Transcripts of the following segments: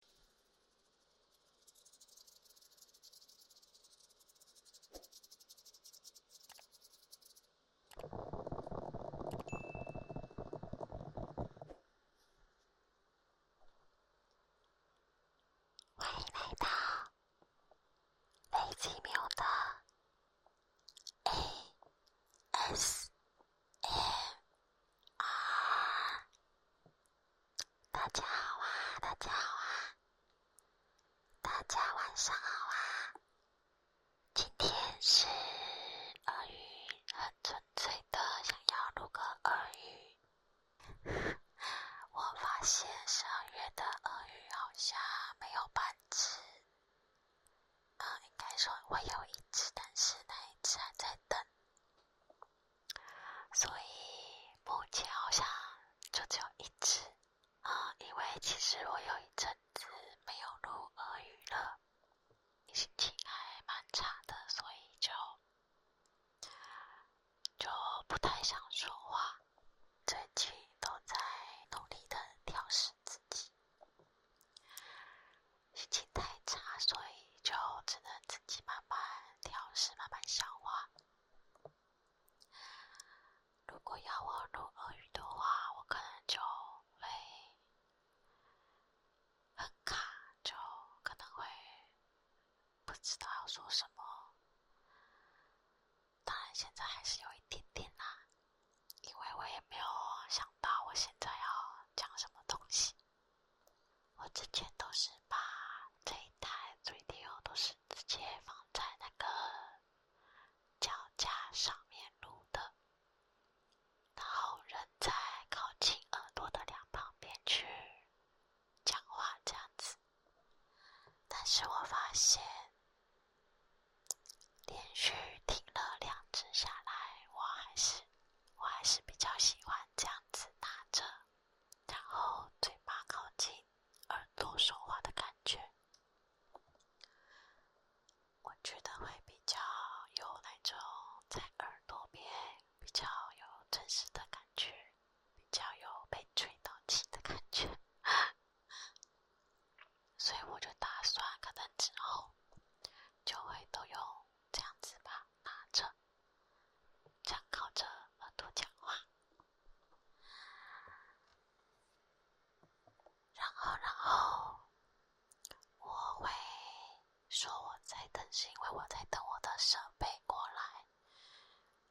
欢迎来到最奇妙的 A S A R。大家好啊，大家好啊，大家晚上好啊！今天是鳄鱼，很纯粹的想要录个鳄鱼。我发现十二月的鳄鱼好像没有半只，呃，应该说会有一只，但是那一只在等。所以目前好像就只有一只啊，因为其实我有一阵子没有录俄语了，心情还蛮差的，所以就就不太想说话，最近都在努力的调试自己。心情太差，所以就只能自己慢慢调试、慢慢消化。如果要我录俄语的话，我可能就会很卡，就可能会不知道要说什么。当然，现在还是有一点点啦，因为我也没有想到我现在要讲什么东西。我之前都是把这一台 radio 都是直接放在那个脚架上面录的，然后人在靠近耳朵的两旁边去讲话这样子。但是我发现连续听了两次下来，我还是。我还是比较喜欢这样子拿着，然后嘴巴靠近耳朵说话的感觉。我觉得会比较有那种在耳朵边比较有真实的感觉，比较有被吹到气的感觉。所以我就打算，可能之后就会都用。这样子吧，拿着这样靠着耳朵讲话，然后然后我会说我在等，是因为我在等我的设备过来。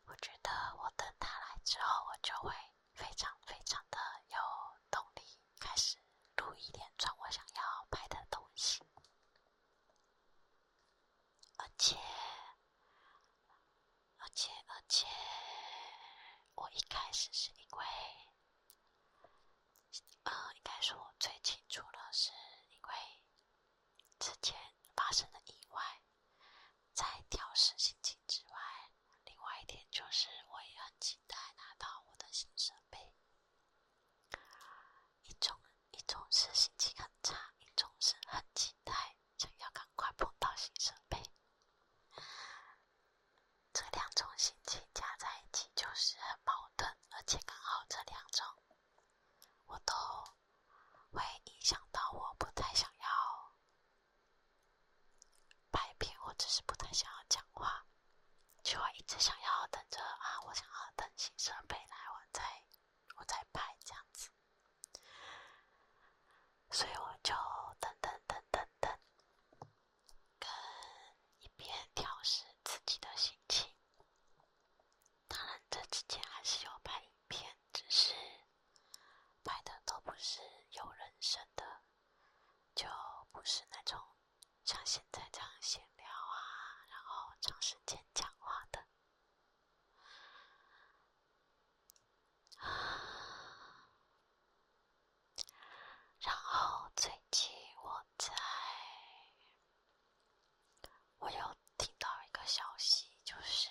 我觉得我等他来之后，我就会非常非常的有动力。开始录一点，转我想要拍的东西。而且，而且，而且，我一开始是因为，呃，应该是我最清楚了是因为之前发生的意外，在调试心情之外，另外一点就是我也很期待拿到我的新设备。一种一种是心情很差，一种是很期待，想要赶快碰到新设备。这两种心情加在一起就是很矛盾，而且刚好这两种我都会影响到，我不太想要拍片，我只是不太想要讲话。就一直想要等着啊！我想要等新设备来，我再我再拍这样子。所以我就等等等等等，跟一边调试自己的心情。当然，这之前还是有拍影片，只是拍的都不是有人生的，就不是那种。像现在这样闲聊啊，然后长时间讲话的啊，然后最近我在，我有听到一个消息，就是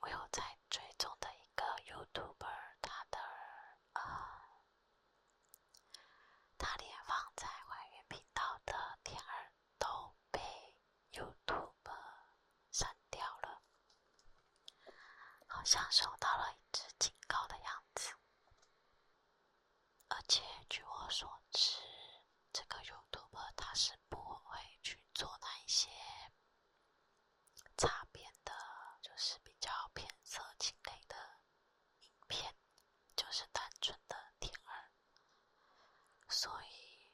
我有在追踪的一个 YouTuber，他的啊。他连放在怀远频道的片儿都被 YouTube 删掉了，好像收到了一只警告的样子。而且据我所知，这个 YouTube 他是不会去做那一些擦边的，就是比较偏色情类的。影片就是单纯的天儿，所以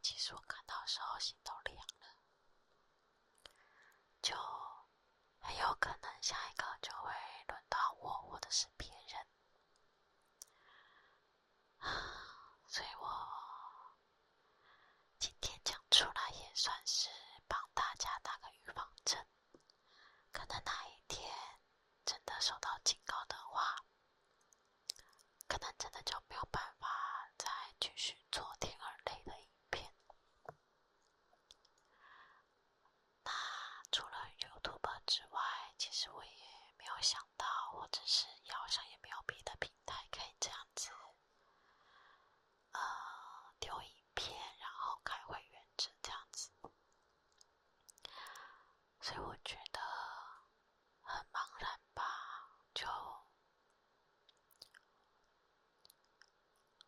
其实我看到时候心都凉了，就很有可能下一个就会轮到我，或者是别人，啊，所以我今天讲出来也算是帮大家打个预防针。可能哪一天真的受到警告的话，可能真的就没有办法再继续做天而类的影片。那除了 YouTube 之外，其实我也没有想到，或者是腰上也没有别的平台可以这样子。呃，丢影片，然后开会员制这样子，所以我觉得很茫然吧，就我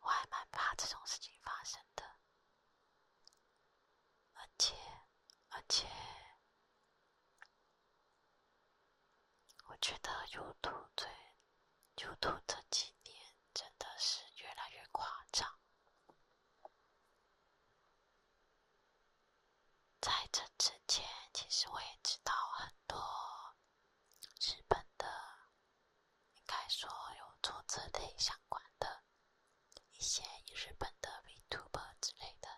还蛮怕这种事情发生的，而且，而且，我觉得 YouTube 最 YouTube 这几年。真的是越来越夸张。在这之前，其实我也知道很多日本的，应该说有做这类相关的，一些日本的 VTuber 之类的，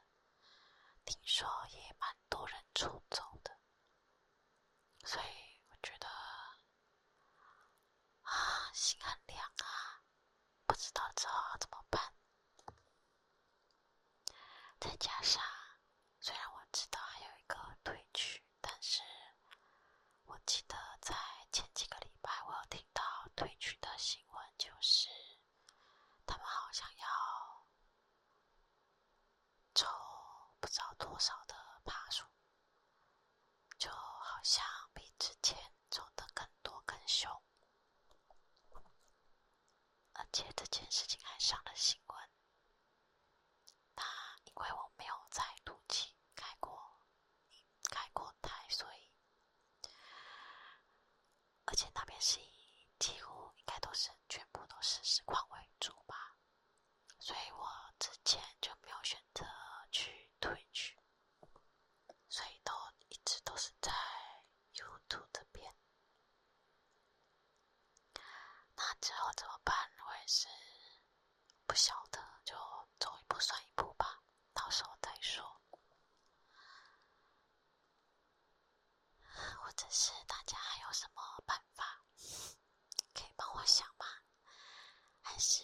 听说也蛮多人出走的。所以我觉得。啊，心很凉啊！不知道这怎么办。再加上，虽然我知道还有一个退曲，但是我记得在前几个礼拜，我有听到退曲的新闻就是，他们好像要。抽不知道多少的爬树，就好像比之前走的更多更凶，而且这件事情还上了新闻。那因为我没有在陆地开过，开过台，所以，而且那边是几乎应该都是全部都是实况为主吧。所以我之前就没有选择去退去，所以都一直都是在 YouTube 这边。那之后怎么办？我也是不晓得，就走一步算一步吧，到时候再说。或者是大家还有什么办法？可以帮我想吗？还是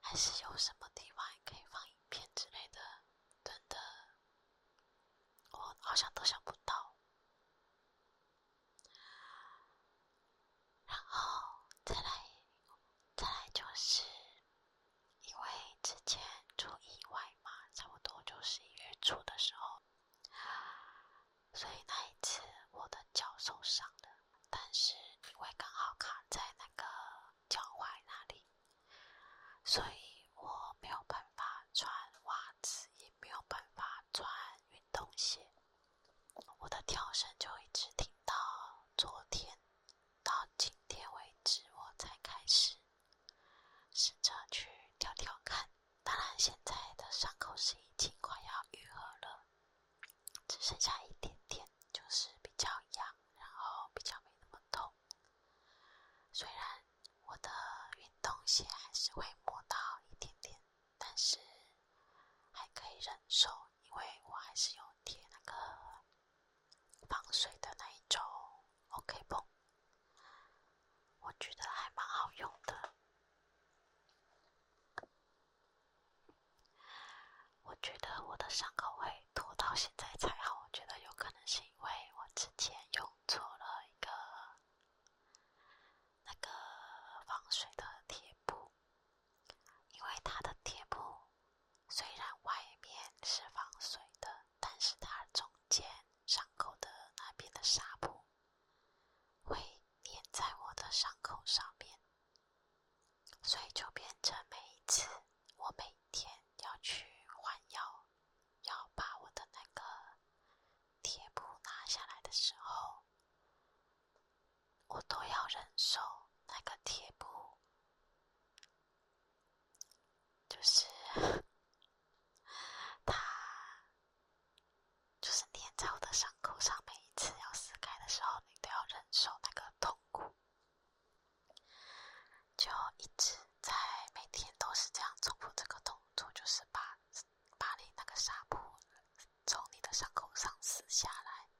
还是有什么地方可以放影片之类的？真的，我好像都想不到。然后再来再来，就是因为之前出意外嘛，差不多就十一月初的时候。所以那一次我的脚受伤了，但是因为刚好卡在那个脚踝那里，所以我没有办法穿袜子，也没有办法穿运动鞋。我的跳绳就一直停到昨天，到今天为止我才开始试着去跳跳看。当然，现在的伤口是已经快要愈合了，只剩下一点点，就是比较痒，然后比较没那么痛。虽然我的运动鞋还是会磨到一点点，但是还可以忍受，因为我还是有贴那个防水的那一种 OK 绷，我觉得还蛮好用的。我觉得我的伤口会拖到现在才好，我觉得有可能是因为我之前用错了一个那个防水的贴布，因为它的贴布虽然外面是防水的，但是它中间伤口的那边的纱布。会粘在我的伤口上面，所以就变成每一次我每天要去换药，要把我的那个贴布拿下来的时候，我都要忍受那个贴布，就是 它。就是粘在我的伤口上，每一次要撕开的时候，你都要忍受那个痛苦，就一直在每天都是这样重复这个动作，就是把把你那个纱布从你的伤口上撕下来，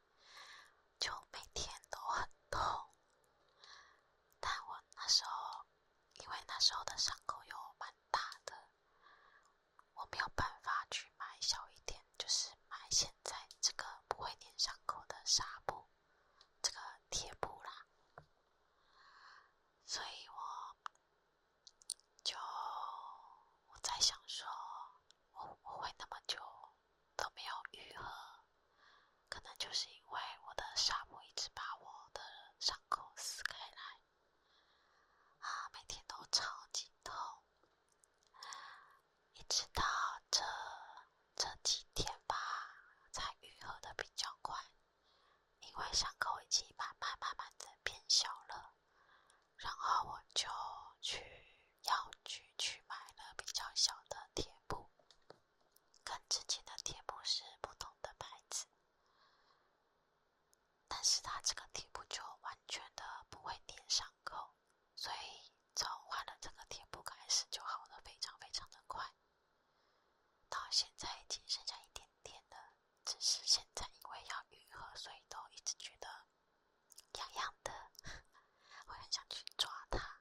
就每天都很痛。但我那时候，因为那时候的伤口有蛮大的。我没有办法去买小一点，就是买现在这个不会粘伤口的纱布，这个贴布啦。所以我就我在想说，我我会那么久都没有愈合，可能就是因为我的纱布一直把我的伤口撕开来。啊，每天都超级痛，一直到这这几天吧，才愈合的比较快，因为伤口已经慢慢慢慢的变小了。然后我就去药局去买了比较小的贴布，跟之前的贴布是不同的牌子。但是他这个贴布就完全的不会点伤口，所以从换了这个贴布开始就好了，非常非常的快。到现在只剩下一点点了，只是现在因为要愈合，所以都一直觉得痒痒的，我 很想去抓它。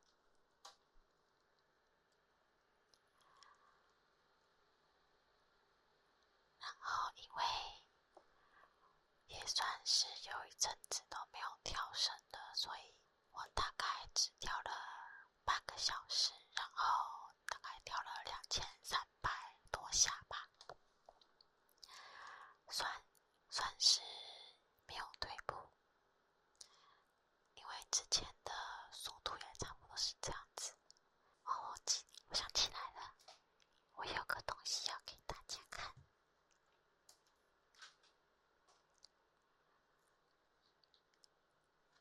然后，因为也算是有一阵子都没有跳绳了，所以我大概只跳了半个小时，然后大概跳了两千三百多下吧，算算是没有退步。因为之前的速度也差不多是这样子。哦，记我想起来了，我有个东西要给大家看。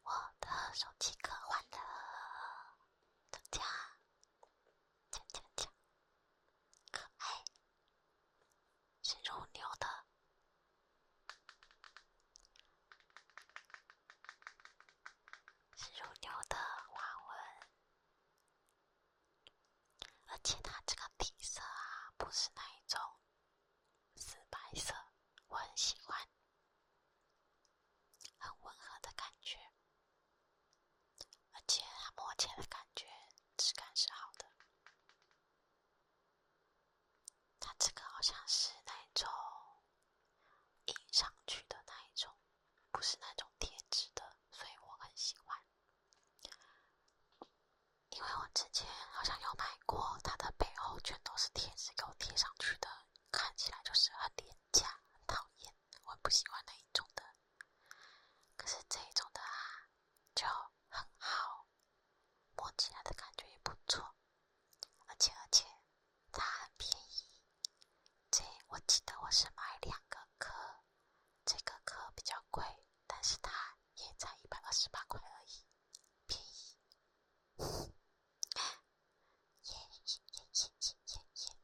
我的手机壳换了，加加加加加，可爱，是柔牛的。是乳牛的花纹，而且它这个底色啊，不是那一种死白色，我很喜欢，很温和的感觉，而且它摸起来的感觉质感是好的。它这个好像是那种印上去的那一种，不是那种贴纸的，所以我很喜欢。因为我之前好像有买过，它的背后全都是贴纸，给我贴上去的，看起来就是很廉价，很讨厌，我不喜欢那一种的。可是这一种的啊，就很好。摸起来的感觉也不错，而且而且，它很便宜。这我记得我是买两个壳，这个壳比较贵，但是它也才一百二十八块而已，便宜。耶耶耶耶耶耶耶。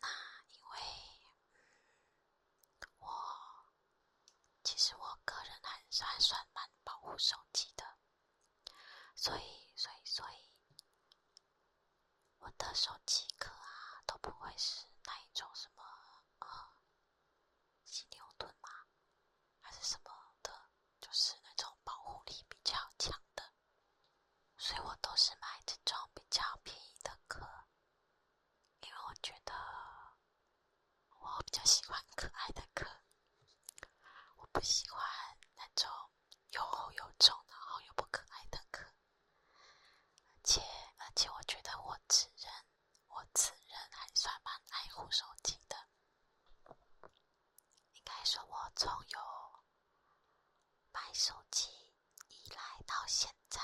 那因为，我。其实我个人还是还算蛮保护手机的，所以所以所以，我的手机壳啊都不会是那一种什么呃，犀牛盾嘛，还是什么的，就是那种保护力比较强的，所以我都是买这种比较便宜的壳，因为我觉得。我比较喜欢可爱的壳，我不喜欢那种又厚又重，然后又不可爱的壳。而且，而且，我觉得我此人，我此人还算蛮爱护手机的。应该说，我从有买手机以来到现在，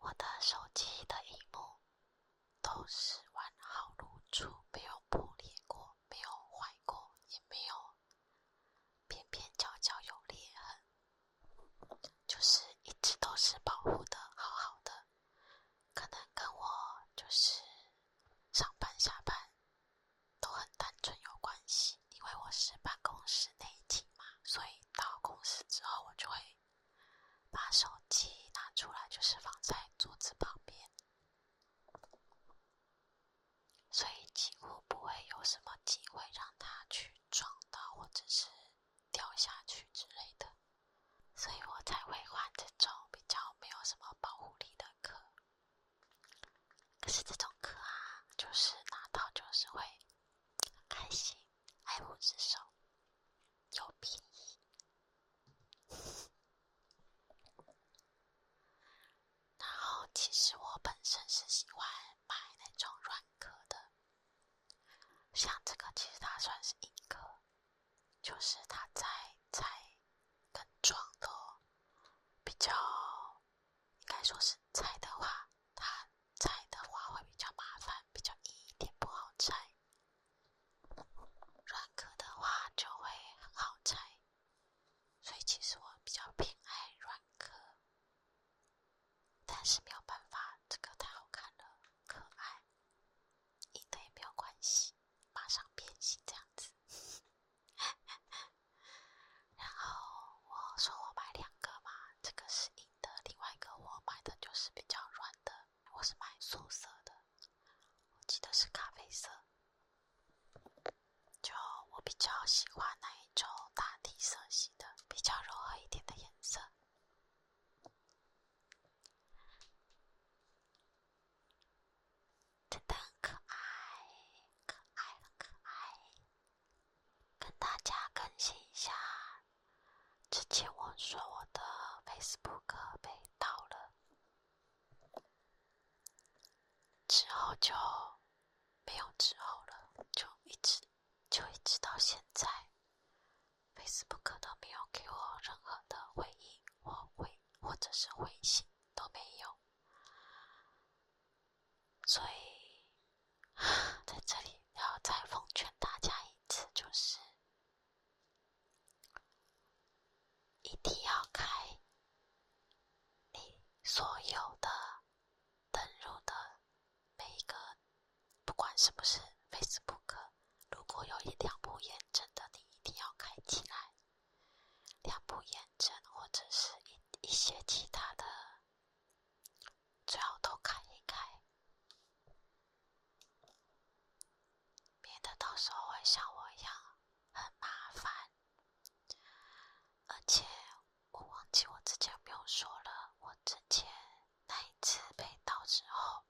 我的手机的一幕。都是完好如初，没有破裂过，没有坏过，也没有边边角角有裂痕，就是一直都是保护的好好的。可能跟我就是上班下班都很单纯有关系，因为我是办公室内勤嘛，所以到公司之后我就会。把手机拿出来，就是放在桌子旁边，所以几乎不会有什么机会让它去撞到，或者是掉下去之类的，所以我才会换这种比较没有什么保护力的壳。可是这种壳啊，就是拿到就是会开心。爱不之手又便宜。然后，其实我本身是喜欢买那种软壳的，像这个其实它算是硬壳，就是它在拆更装的，比较应该说是拆的话，它拆的话会比较麻烦，比较硬一点，不好拆。软壳的话就会很好拆，所以其实我比较偏爱软壳，但是没有办法，这个太好看了，可爱，硬的也没有关系，马上变形这样子。然后我说我买两个嘛，这个是硬的，另外一个我买的就是比较软的。我是买素色的，我记得是咖啡色。就我比较喜欢那一种大地色系的，比较柔和一点的颜色。真的很可爱，可爱很可爱。跟大家更新一下。之前我说我的 Facebook 被盗了，之后就没有之后了，就一直就一直到现在，Facebook 都没有给我任何的回应或回或者是回信都没有，所以。在这里，要再奉劝大家一次，就是一定要开你所有的登录的每一个，不管是不是 Facebook，如果有一两部验证的，你一定要开起来。两部验证或者是一一些其他的。最好都看一看，免得到时候会像我一样很麻烦。而且我忘记我之前没有说了，我之前那一次被盗之后，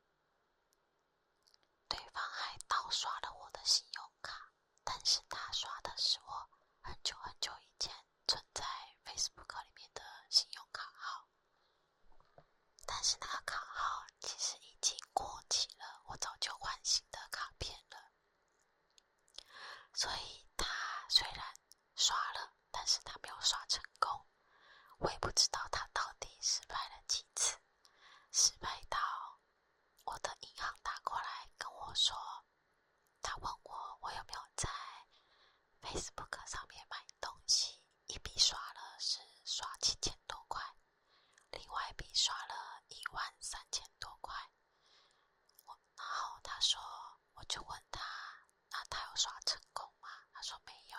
对方还盗刷了我的信用卡，但是他刷的是我很久很久以前存在 Facebook 里面的信用卡号。但是那个卡号其实已经过期了，我早就换新的卡片了。所以他虽然刷了，但是他没有刷成功。我也不知道他到底失败了几次，失败到我的银行打过来跟我说，他问我我有没有在。Facebook 上面买东西，一笔刷了是刷七千多块，另外一笔刷了一万三千多块。我，然后他说，我就问他，那他有刷成功吗？他说没有。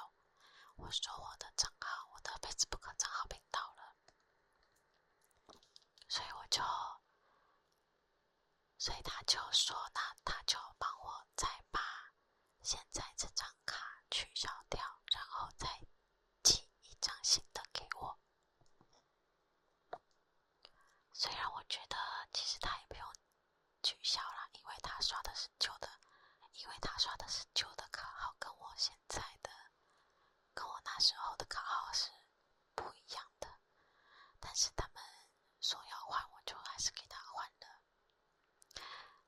我说我的账号，我的 Facebook 账号被盗了，所以我就。所以他就说，那他就帮我再把现在这张卡取消掉，然后再寄一张新的给我。虽然我觉得其实他也不用取消了，因为他刷的是旧的，因为他刷的是旧的卡号，跟我现在的、跟我那时候的卡号是不一样的，但是他们。说要换，我就还是给他换了。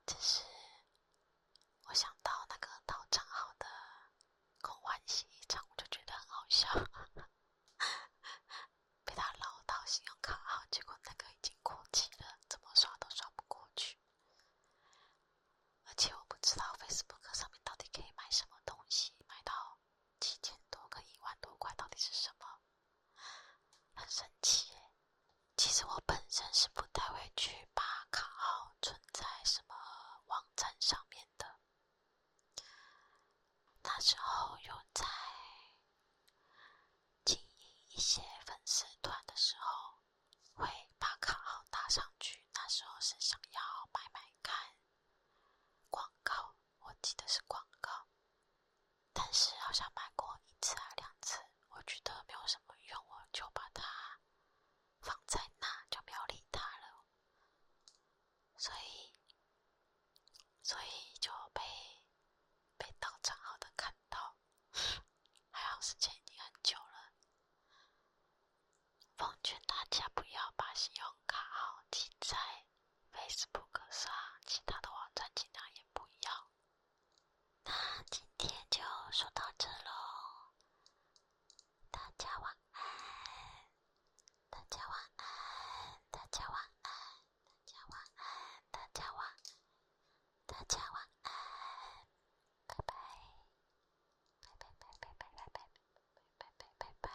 只是我想到那个盗账号的狗欢喜一唱，我就觉得很好笑。被他唠到信用卡号，结果那个已经过期了，怎么刷都刷不过去。而且我不知道 Facebook 上面到底可以买什么东西，买到几千多跟一万多块到底是什么。很神奇，其实我本身是不太会去把卡号存在什么网站上面的。那时候有在经营一些粉丝团的时候，会把卡号打上去。那时候是想要买买看广告，我记得是广告。但是好像买过一次两次，我觉得没有什么用，我就把它放在那就没有理它了。所以，所以就被被盗账号的看到，还好时间已经很久了。奉劝大家不要把信用卡号记在。Facebook 上其他的网站尽量也不要。那今天就说到这喽，大家晚安，大家晚安，大家晚安，大家晚安，大家晚，大家晚安，拜拜，拜拜拜拜拜拜拜拜拜拜。